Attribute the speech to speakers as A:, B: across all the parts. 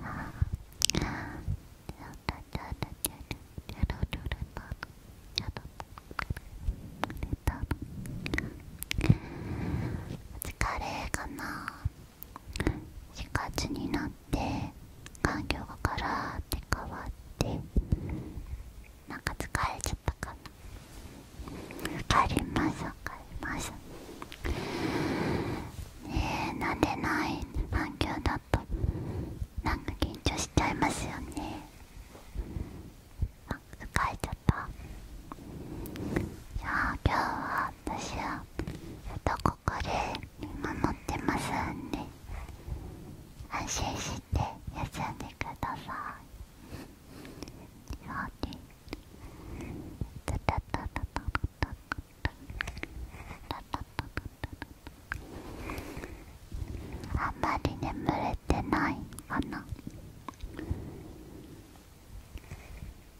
A: ああ。疲れかな4月になって環境がガラーって変わってなんか疲れちゃったかな帰りましょわかりますねえ慣れない環境だとなんか緊張しちゃいますよねあ疲れちゃったじあ今日は私はどこかで見守ってますんで安心して休んでください。あんまり眠れてないかな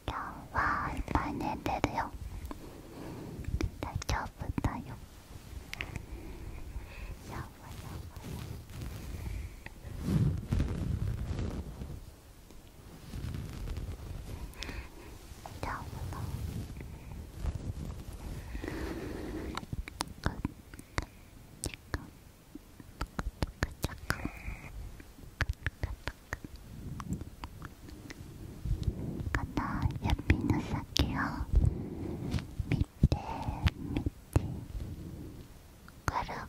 A: 今日はいっぱい寝れるよ大丈夫だよやばいやばいどうもこの指の先を見て見てぐるガラ。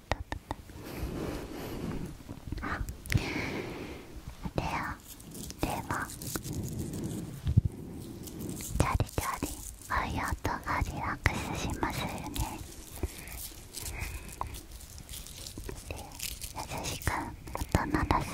A: あレでは。モンチャリチャリあイヤーとがリラックスしますよねで優しく音鳴らすあ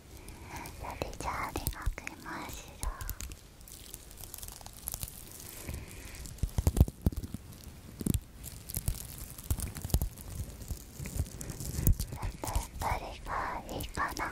A: それじゃあリ出かけましまた、ど人がいいかなやっぱり。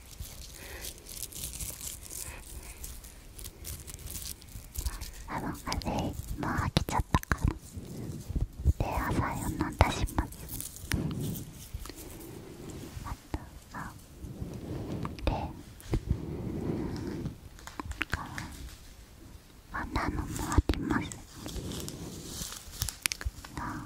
A: あの風もう飽きちゃったからで朝4飲んだしますあとあでこんなのもありますあ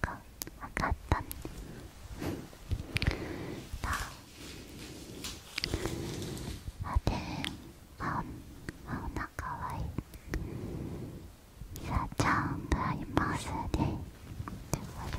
A: か分かったねあであおなかわいいさちゃんがいますねってこと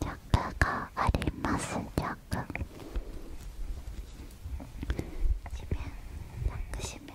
A: 弱があります弱地面抱しめて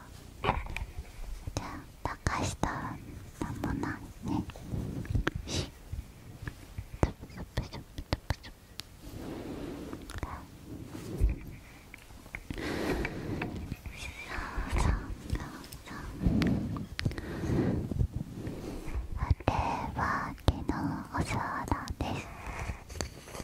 A: じゃあ高下なんもないねしトゥプトゥプトゥプトゥプそうあれは昨日お皿です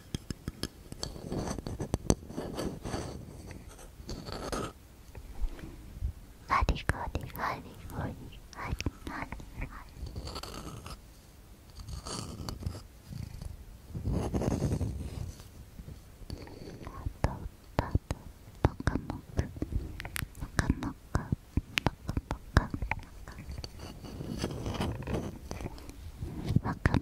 A: ハリハリハリハリハリハリハリパトパトパカモクパカモカパカパカパカパカパカ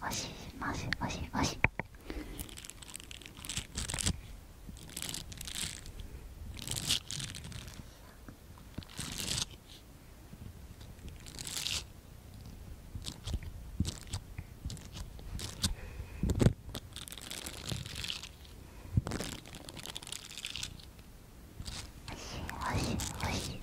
A: もしもし押しおし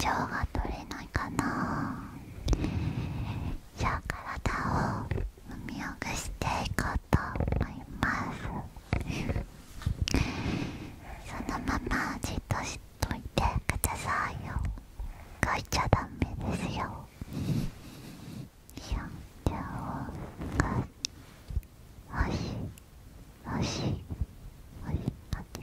A: 腸が取れないかなじゃあ体を揉みほぐしていこうと思いますそのままじっとしといてくださいよ動いちゃダメですよいやじゃあおしおしおしあっ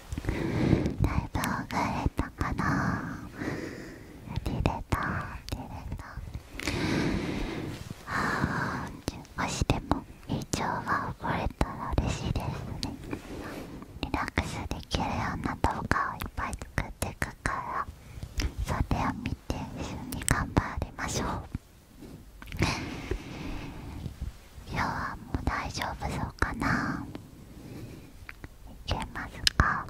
A: だいぶほれたかな出れた出れたあ少しでも胃腸がほぐれたら嬉しいですねリラックスできるような動画をいっぱい作っていくからそれを見て一緒に頑張りましょう今日はもう大丈夫そうかなけますか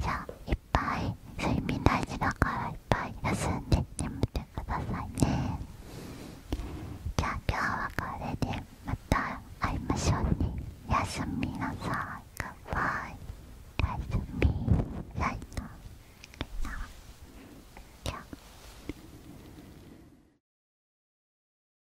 A: じゃあいっぱい睡眠大事だからいっぱい休んでってみてくださいねじゃあ今日はこれでまた会いましょうねおやすみなさいグッバイおやすみライトじゃ